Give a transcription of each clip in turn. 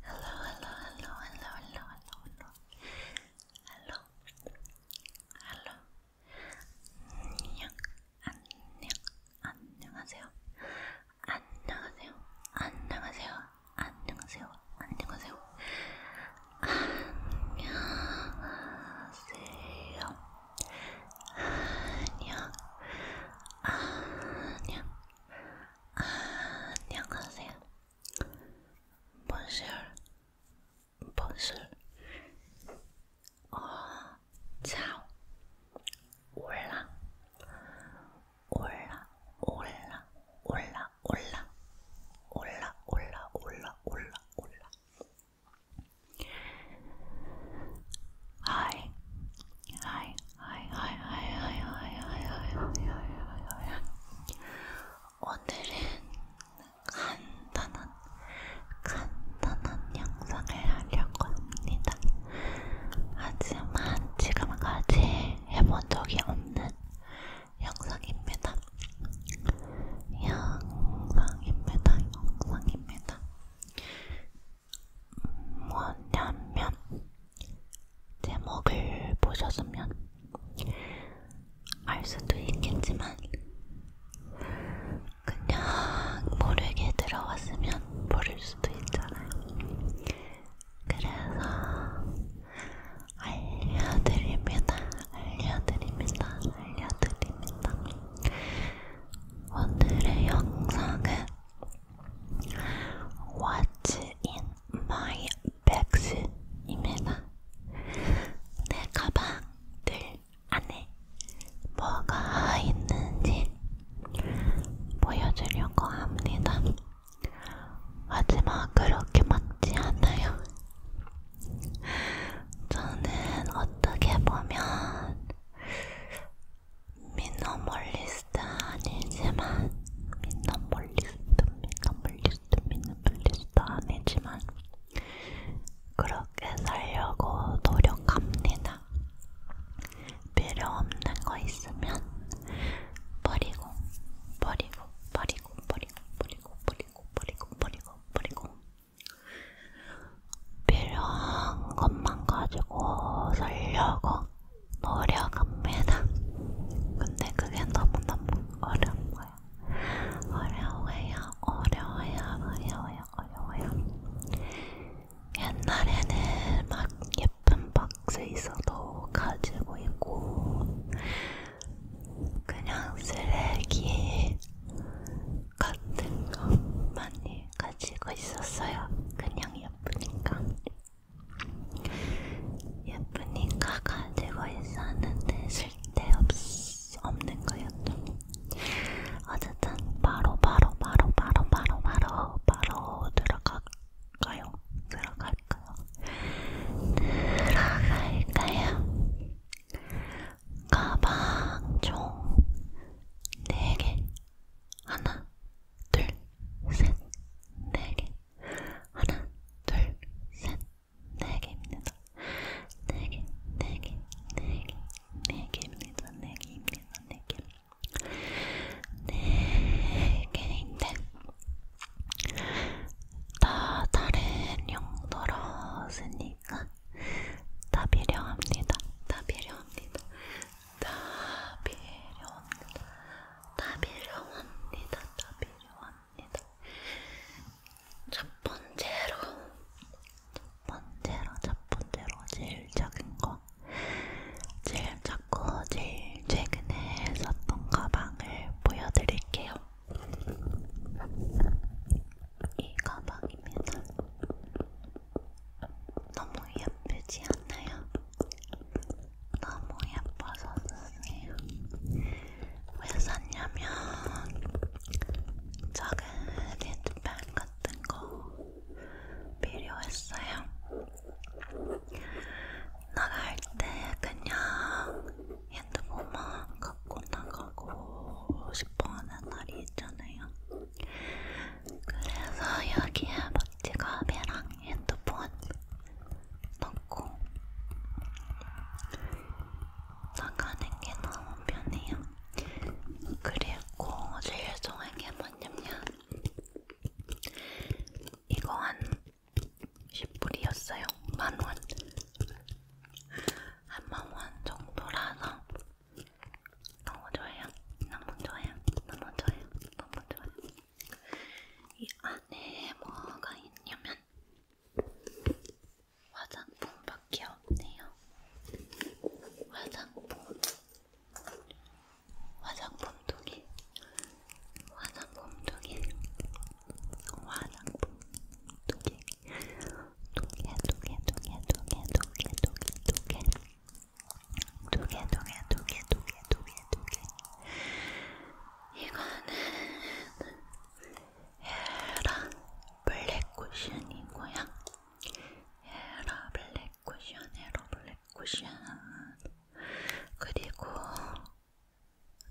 hello, hello, hello, hello, hello, hello, hello, hello, 안녕, 안녕, 안녕하세요, 안녕하세요, 안녕하세요, 안녕하세요, 안녕하세요, 안녕하세요, 안녕, 안녕. 안녕 아, 안녕하세요. Bonjour. Bonjour. 어, ciao. 올라. 올라. 올라. 올라. 올라. 올라. 올라. 올라. 올라. 올라. Hi. Hi. 오늘은 간단한 간단한 영상을 하려고 합니다. 하지만 지금까지 해본 적이 없는 영상입니다. 영상입니다. 영상입니다. 뭐냐면 제목을 보셨으면 알 수도 있겠지만 그냥 모르게 들어왔으면 모를 수도 있잖아요. 그래서 알려드립니다. 알려드립니다. 알려드립니다. 오늘의 영상은 What's in my bags? 입니다. 내 가방들 안에 뭐가 있는지 보여주려고 합니다. 하지만 그렇게 맞지 않아요. 저는 어떻게 보면 미너멀리스트 아니지만 미너멀리스트 미너멀리스트 미너멀리스트 아니지만 그렇게 살려고 노력합니다. 필요 없는 거 있으면 버리고 버리고 버리고 버리고 버리고 버리고 버리고 버리고 버리고 필요한 것만 가지고 살려고 노력합니다. 근데 그게 너무너무 어려운 거야. 어려워요, 어려워요, 어려워요, 어려워요. 옛날에는 막 예쁜 박스 있어도 가지고 있고, 그냥 쓰레기 같은 거 많이 가지고 있었어요. 그냥 예쁘니까. 예쁜이가 가지고 있었는데 쓸데없는 거였죠. 어쨌든 바로 바로 바로 바로 바로 바로 바로 들어갈까요? 들어갈까요? 들어갈까요? 가방 총 4개 하나 둘, 셋, 네 개. 하나, 둘, 셋, 네 개입니다. 네 개, 네 개, 네 개, 네 개입니다. 네 개입니다. 네 개. 네 개인데 다 다른 용도로 쓰니까 다 필요합니다. 다 필요합니다. 다 필요합니다. 다 필요합니다. 다 필요합니다. 첫 번째로, 첫 번째로, 첫 번째로 제일 작은 거, 제일 작고 제일 최근에 썼던 가방을 보여드릴게요. 이 가방입니다. 너무 예쁘지 않나요? 너무 예뻐서 쓰세요. 왜 샀냐면 작은 헤드펜 같은 거 필요했어요. 나갈 때 그냥 핸드폰만 갖고 나가고 싶어하는 날이 있잖아요. 그래서 여기에 머티가메랑 핸드폰 넣고 나가는 게 너무 편해요. 그리고 제일 좋은 게 뭐냐면 이거 한 10불이었어요. 만원. 한만원 정도라서 너무 좋아요. 너무 좋아요. 너무 좋아요. 너무 좋아요. 이 안에 뭐가 있냐면 화장품밖에 없네요. 화장품. 화장품 두 개. 화장품 두 개. 화장품 두 개. 두 개, 두 개, 두 개, 두 개, 두 개, 두 개, 두 개. 두 개, 두 개, 두 개, 두 개, 두 개, 두 개. 이거는 헤라 블랙 쿠션이고요. 헤라 블랙 쿠션, 헤라 블랙 쿠션. 그리고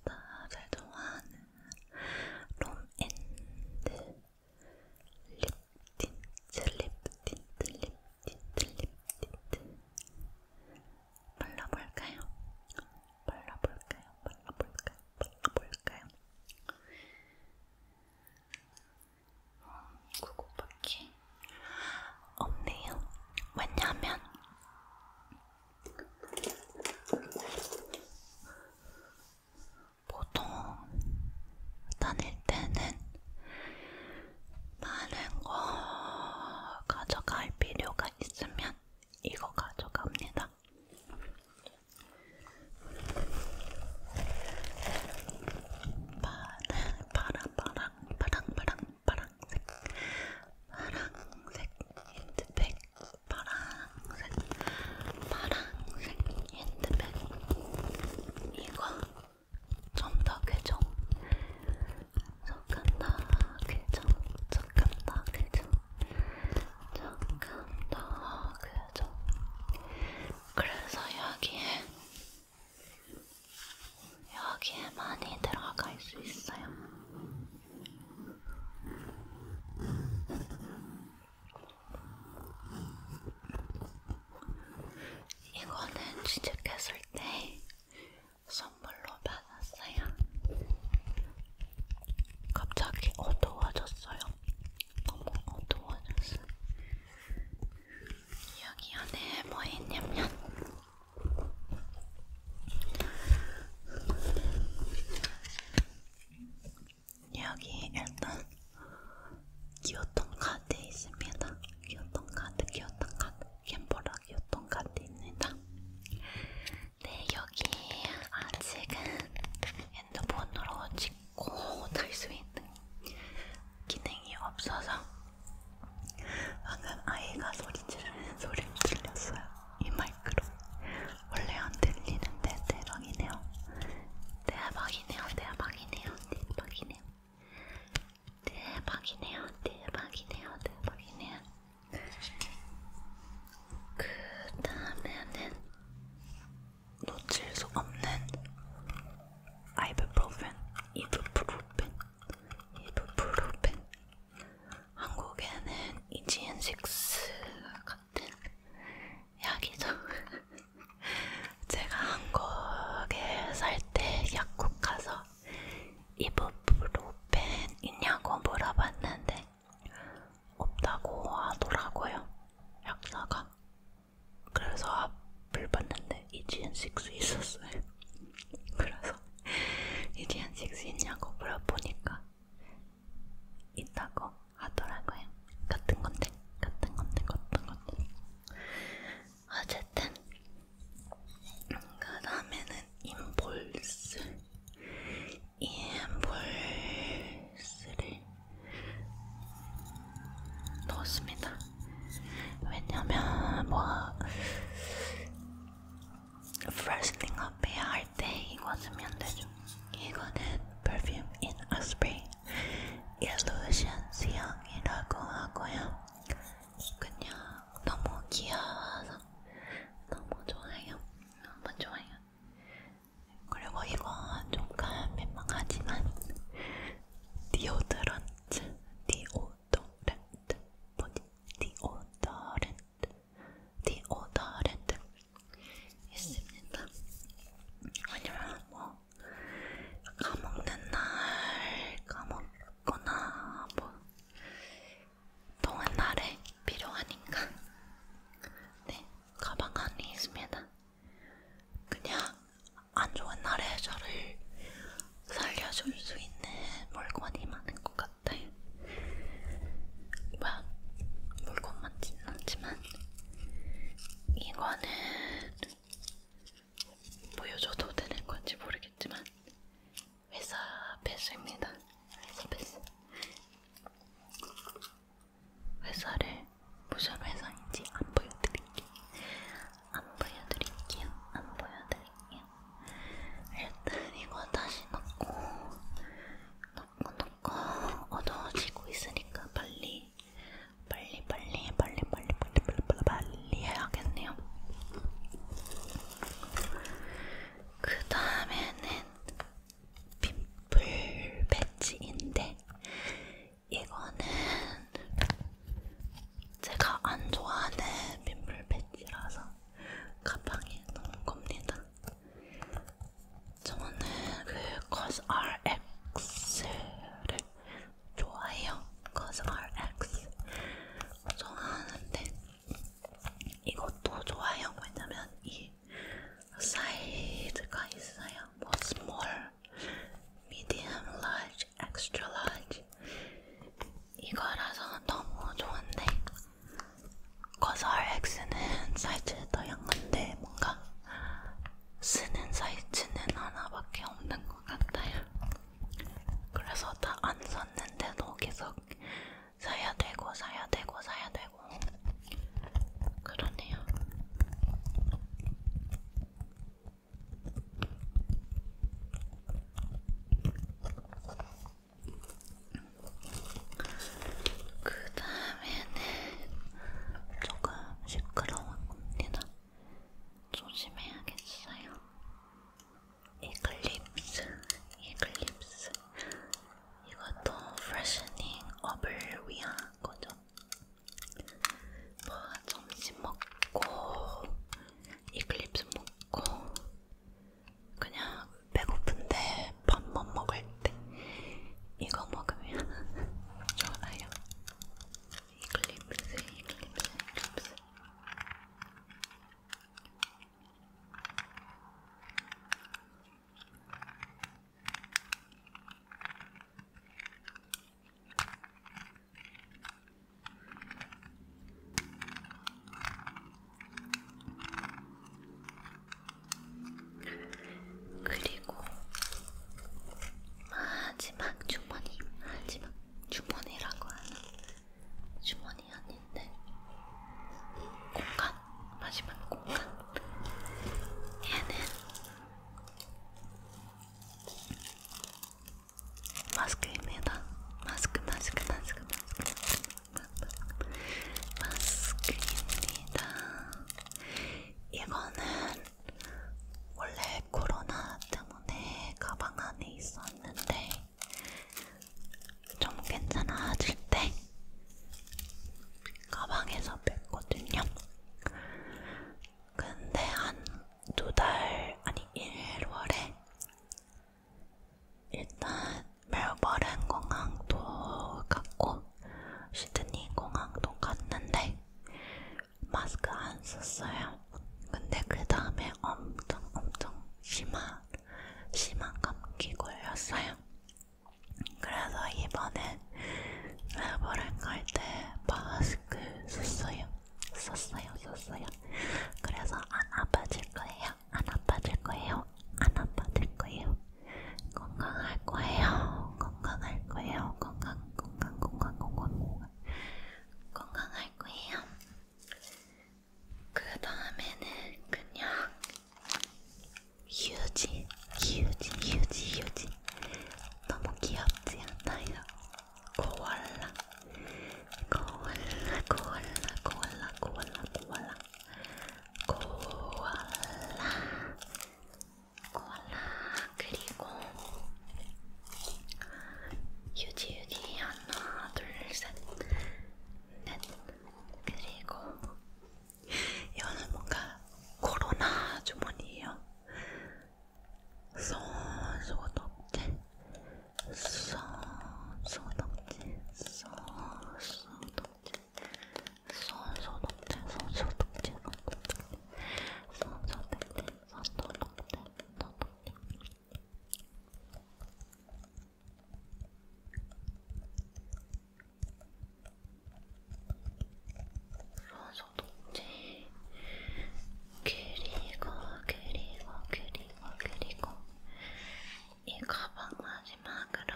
나를 좋아하는 롬앤드 립 틴트립, 틴트립, 틴트립, 틴트. 발라볼까요? 발라볼까요? 발라볼까요? 발라볼까요? 그거밖에 음, 없네요. 왜냐면 보통 다닐 때는 많은 거 가져갈 필요가 있으면 이거 가져갑니다. 파랑, 파랑, 파랑, 파랑, 파랑, 파랑색, 파랑색 핸드백, 파랑색, 파랑색 핸드백. 이거 좀더 괴정 잠깐 더 괴정 잠깐 더 괴정 잠깐 더 괴정 그래서 여기에 여기에 많이 들어갈 수 있어요. 이거는 취직했을 때 선물로 받았어요. 갑자기 어두워졌어요. 너무 어두워졌어. 여기 안에 뭐 있냐면 여기 일단 기어통 카드 있습니다. 기어통 카드, 기어통 카드, 캠보라 기어통 카드입니다. 네, 여기 아직은 핸드폰으로 찍고 탈수 있는 기능이 없어서 방금 아이가 소리 지르는 소리를 들렸어요. 이 마이크로. 원래 안 들리는데 대박이네요. 대박이네요. 대박이네요. 대박이네요. 대박이네요. 대박이네요. 대박이네요. 그 다음에는 놓칠 수 없는 아이브프로펜, 이브프로펜, 이브프로펜. 한국에는 이지앤식스 같은 약이죠. 제가 한국에 살 때 약국 가서 이부프로펜 있냐고 물어봤는데 없다고 하더라고요. 약사가. 그래서 앞을 아, 봤는데 이지엔6 있었어요. 그래서 이지엔6 있냐고 물어보니까 있다고 하더라고요. 같은 건데, 같은 건데, 같은 건데. 어쨌든 그 다음에는 인볼스, 인볼스를 넣었습니다. 왜냐면 뭐 프레스팅 앞에 할때 이거 쓰면 되죠. 이거는 perfume in a spray 일루션 수영이라고 하고요. 그냥 너무 귀여워서 너무 좋아요. 너무 좋아요. 그리고 이거 조금 민망하지만 디오드런트, 디오도렌트, 뭐지? 디오도렌트, 디오도렌트 있습니다. 왜냐면 뭐 까먹는 날 까먹거나 뭐 동안 날에 필요하니까 네 가방 안에 있습니다. 그냥 안 좋은 날에 저를 살려줄 수 있는 물건이 많은 것 같아요. 막 물건만 짓는지만 이거는 보여줘도 되는 건지 모르겠지만 회사 배수입니다. 회사 배수. 회사를 무슨 회사인지 안 보여드릴게요. 안 보여드릴게요. 안 보여드릴게요. 일단 이거 다시 넣고 녹고 어두워지고 있으니까 빨리 빨리 빨리 빨리 빨리 빨리 빨리 빨리 빨리 해야겠네요. 그 다음에는 빔플 배지인데 이거는 제가 안 좋아하는 빔플 배지라서 가방에 넣은 겁니다. 저는 그 COSRX를 좋아해요. COSRX 좋아하는데 이것도 좋아요. 왜냐면 이 사이즈가 있어요. 뭐 small, medium, large, extra large 이거라서 너무 좋은데 COSRX는 사이즈도 양건데 뭔가 쓰는 사이즈는 하나밖에 없는 것 같아요. 그래서 다안 샀는데도 계속 사야 되고 사야 되고 사야 되고 그러네요. 그 다음에는 조금 시끄러웠습니다. 조심해야겠어요. 이글립스, 이글립스. 이것도 프레셔닝 업을 위한 거죠. 뭐 점심 먹고 이글립스 먹고 그냥 배고픈데 밥만 먹을 때 이거 먹으면 좋아요. 이글립스, 이글립스, 이글립스. 그리고 마지막 주머니, 마지막 주머니라고 하는 주머니 아닌데 공간, 마지막 공간. 얘는 마스크입니다. 마스크, 마스크, 마스크, 마스크, 마스크, 마스크입니다. 이거는 원래 코로나 때문에 가방 안에 있었는데 좀 괜찮아질 때 가방에서 뺐거든요. 근데 한 두 달 아니 1월에 일단 멜버른 공항도 갔고 시드니 공항도 갔는데 마스크 안 썼어요. 근데 그 다음에 엄청 엄청 심한 심한 감기 걸렸어요. 그래서 이번에 레버랭 갈때 마스크 썼어요. 썼어요, 썼어요. 그래서 안 아파질 거예요. 안 아파질 거예요. 안 아파질 거예요. 건강할 거예요. 건강할 거예요. 건강, 건강, 건강, 건강, 건강. 건강할 거예요. 그 다음에는 그냥 휴지, 휴지, 휴지, 휴지. 너무 귀엽지 않나요? 고월라, 고월라, 고월라, 고월라, 고월라, 고월라. 코알라, 코알라 그리고 유지유기 하나, 둘, 셋, 넷 그리고 이거는 뭔가 코로나 주머니예요. 손 소독제, 손 소독제, 손 소독제. 손소독제, 손소독제, 손소독제, 손소독제, 손소독제, 소독제. 손소독제. 그리고, 그리고, 그리고, 그리고. 이 가방 마지막으로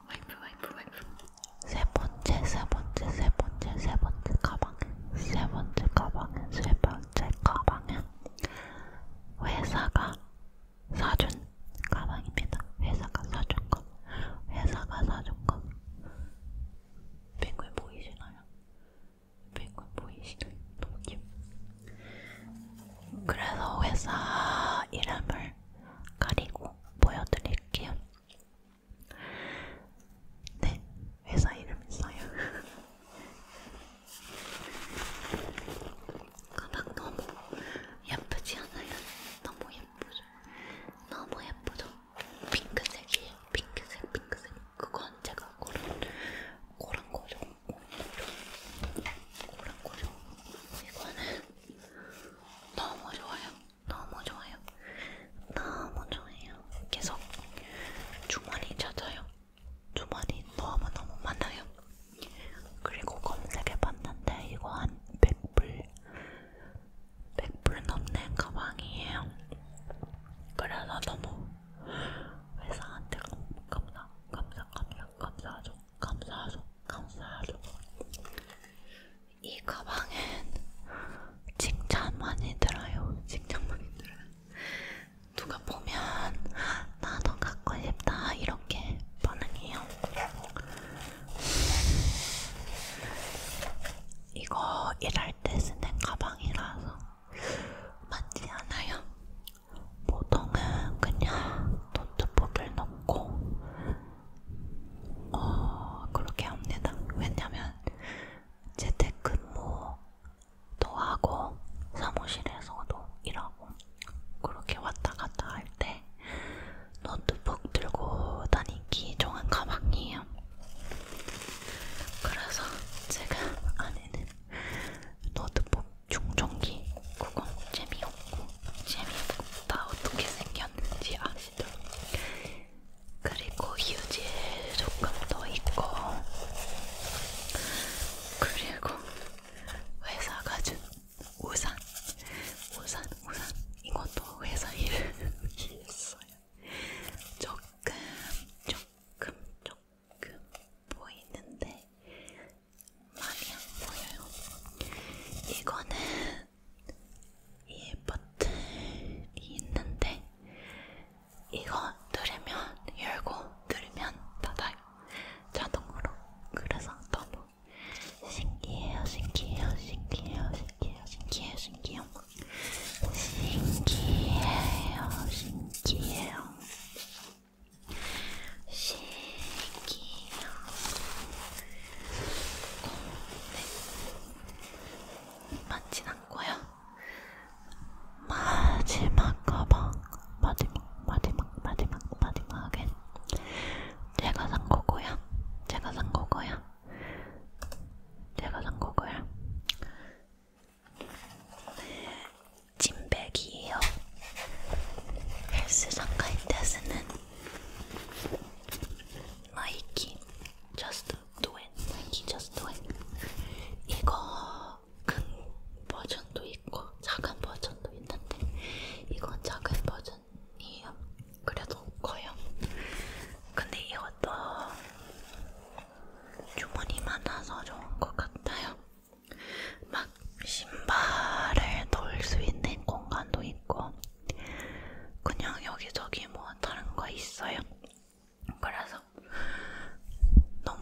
와이프 와이프 와이프 세 번째 세 번째 세 번째 세 번째 가방은 세 번째 가방은 세 번째 가방은 회사가 사준 가방입니다. 회사가 사준 것 회사가 사준 것 펭귄 보이시나요? 펭귄 보이시나요? 너무 귀엽 그래서 회사 이름을 눈을 가리고 보여드릴게요. 네, 회사 이름 있어요. 가방 너무 예쁘지 않아요? 너무 예쁘죠? 너무 예쁘죠? 핑크색이에요. 핑크색, 핑크색. 그건 제가 고른, 고른 거죠. 고른 거죠. 이거는 너무 좋아요. 너무 좋아요. 너무 좋아요. 계속 주머니 찾아요. 주머니 너무너무 많아요. 그리고 검색해봤는데 이거 한 100불 100불 넘는 가방이에요. 그래서 너무 회사한테 감사 감사 감사 감사하죠. 감사하죠. 감사하죠. 이 가방엔 칭찬 많이 들어요. 칭찬 많이 들어요. 누가 보면 나도 갖고 싶다 이렇게 반응해요. 이거 일할 때 쓰는 가방이라서 맞지 않아요. 보통은 그냥 노트북을 넣고 어, 그렇게 합니다. 왜냐면 재택근무도 하고 사무실에서도 일하고 그렇게 왔다 갔다 할 때 노트북 들고 다니기 좋은 가방이에요. 그래서 제가 안에는 노트북 종종기 그건 재미없고 재미없고 다 어떻게 생겼는지 아시죠? 그리고 휴지 조금 더 있고 그리고 회사가 준 우산 우산 우산 이것도 회사 이름이 있어요 조금 조금 조금 보이는데 많이 안 보여요. 이거는 이 버튼이 있는데 이거 누르면 열고 누르면 닫아요. 자동으로. 그래서 너무 신기해요, 신기해요, 신기해요, 신기해요, 신기해요, 신기해요. 신기해요, 신기해요. 신기형 공백 맞진 않고요. 마지막 가방 마지막 마지막 마지막 마지막엔 제가 산 거고요. 제가 산 거고요. 제가 산 거고요. 네, 진백이에요. 헬스장 갈때 쓰는 나이키 Just Do It 나이키 Just Do It 이거 큰 버전도 있고 작은 버전도 있는데 이건 작은 버전이에요. 그래도 커요. 근데 이것도 주문이 많아서 좋은 것 같아요. 막 신발을 넣을 수 있는 공간도 있고 그냥 여기저기 뭐 다른 거 있어요. 그래서 너무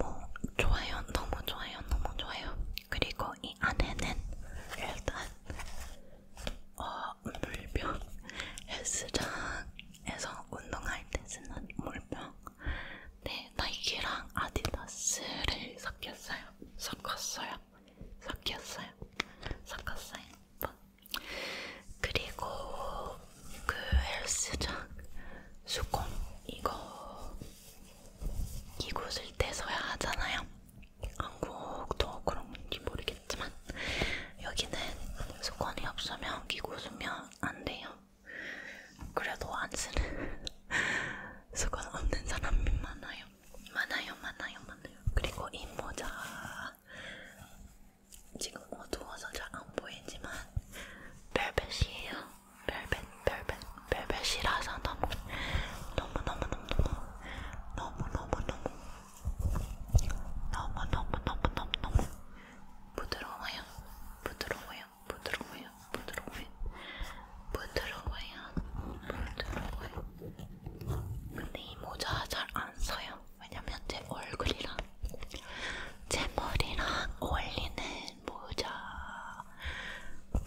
좋아요, 너무 좋아요, 너무 좋아요. 그리고 이 안에는 일단 어, 물병 헬스장에서 운동할 때 쓰는 물병 네, 나이키랑 아디다스를 섞였어요. 섞었어요. 섞였어요. 섞었어요. 뭐. 그리고 그 헬스장 수건 이거 이곳을 떼서야 하잖아요. 한국도 그런지 모르겠지만 여기는 수건이 없으면 끼고 수면 안 돼요. 그래도 안 쓰는 수건 없는 사람이 많아요. 많아요, 많아요, 많아요. 그리고 이 모자 지금 어두워서 잘 안 보이지만 벨벳이에요. 벨벳, 벨벳, 벨벳이라서 너무 너무 너무 너무 너무 너무 너무 너무 너무 너무 너무 너무 너무 부드러워요. 부드러워요. 부드러워요, 부드러워요, 부드러워요, 부드러워요, 부드러워요. 근데 이 모자 잘 안 써요. 왜냐면 제 얼굴이랑 제 머리랑 어울리는 모자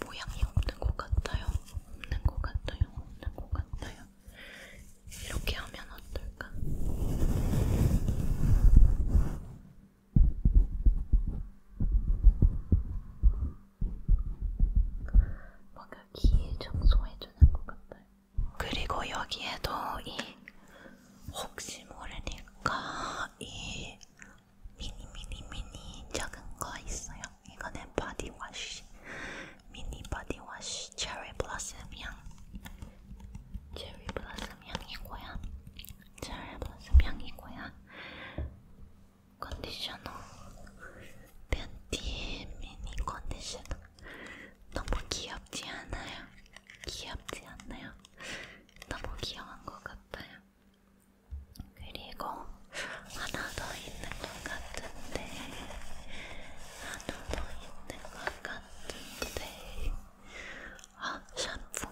모양이 없는 것 같아요. 없는 것 같아요. 없는 것 같아요. 이렇게 하면 어떨까? 뭔가 귀에 청소해주는 것 같아요. 그리고 여기에도 이 혹시 모르니까 이 미니 미니 미니 작은 거 있어요. 이거는 바디워시 미니 바디워시 체리 블라썸 향 체리 블라썸 향이고요. 체리 블라썸 향이고요. 컨디셔너 팬티 미니 컨디셔너 너무 귀엽지 않아요? 귀엽지 않나요? 너무 귀여운 것 같아요. 그리고 하나 더 있는 것 같은데 하나 더 있는 것 같은데 아 샴푸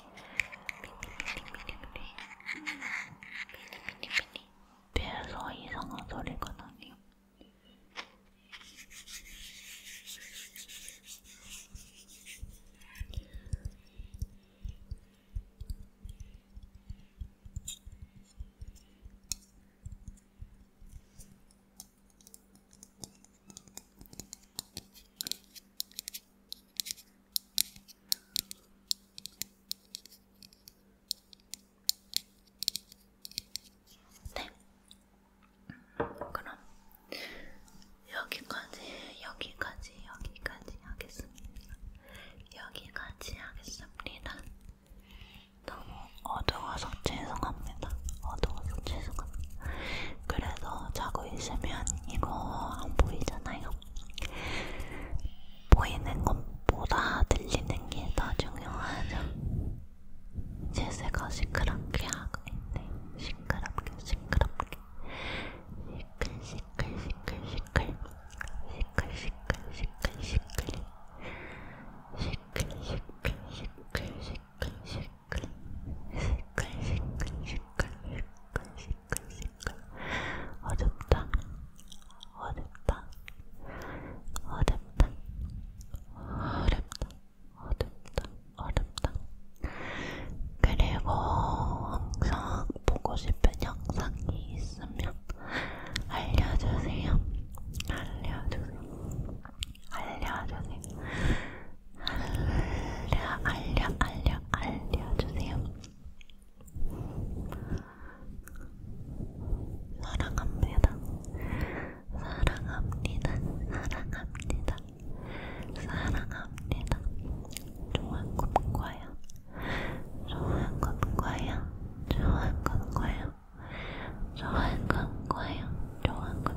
미니미니미니 배에서 이상한 소리가 나네요. 네. 그럼 여기까지, 여기까지, 여기까지 하겠습니다. 여기까지 하겠습니다. 너무 어두워서 죄송합니다. 어두워서 죄송합니다. 그래서 자고 있으면 이거 안 보이잖아요. 보이는 것보다 들리는 게 더 중요하죠. 제새가 시끄럽게 하고 있네. 시끄럽게, 시끄럽게. 시끌, 시끌, 시끌, 시끌. 시끌, 시끌, 시끌, 시끌. 시끌, 시끌, 시끌, 시끌. 시끌시끌시끌시끌시끌시끌시끌 어둡다 어둡다 어둡다 어렵다 어둡다 어렵다 그리고 항상 보고 싶은 영상이 있으면 알려주세요 알려주세요 알려주세요 알려 알려 알려 알려주세요. 사랑합니다. 사랑합니다. 사랑합니다. 사랑합니다. 좋은 꿈꿔요. 좋은 꿈꿔요. 좋은 꿈꿔요. 좋은 꿈꿔요. 좋은 꿈꿔요.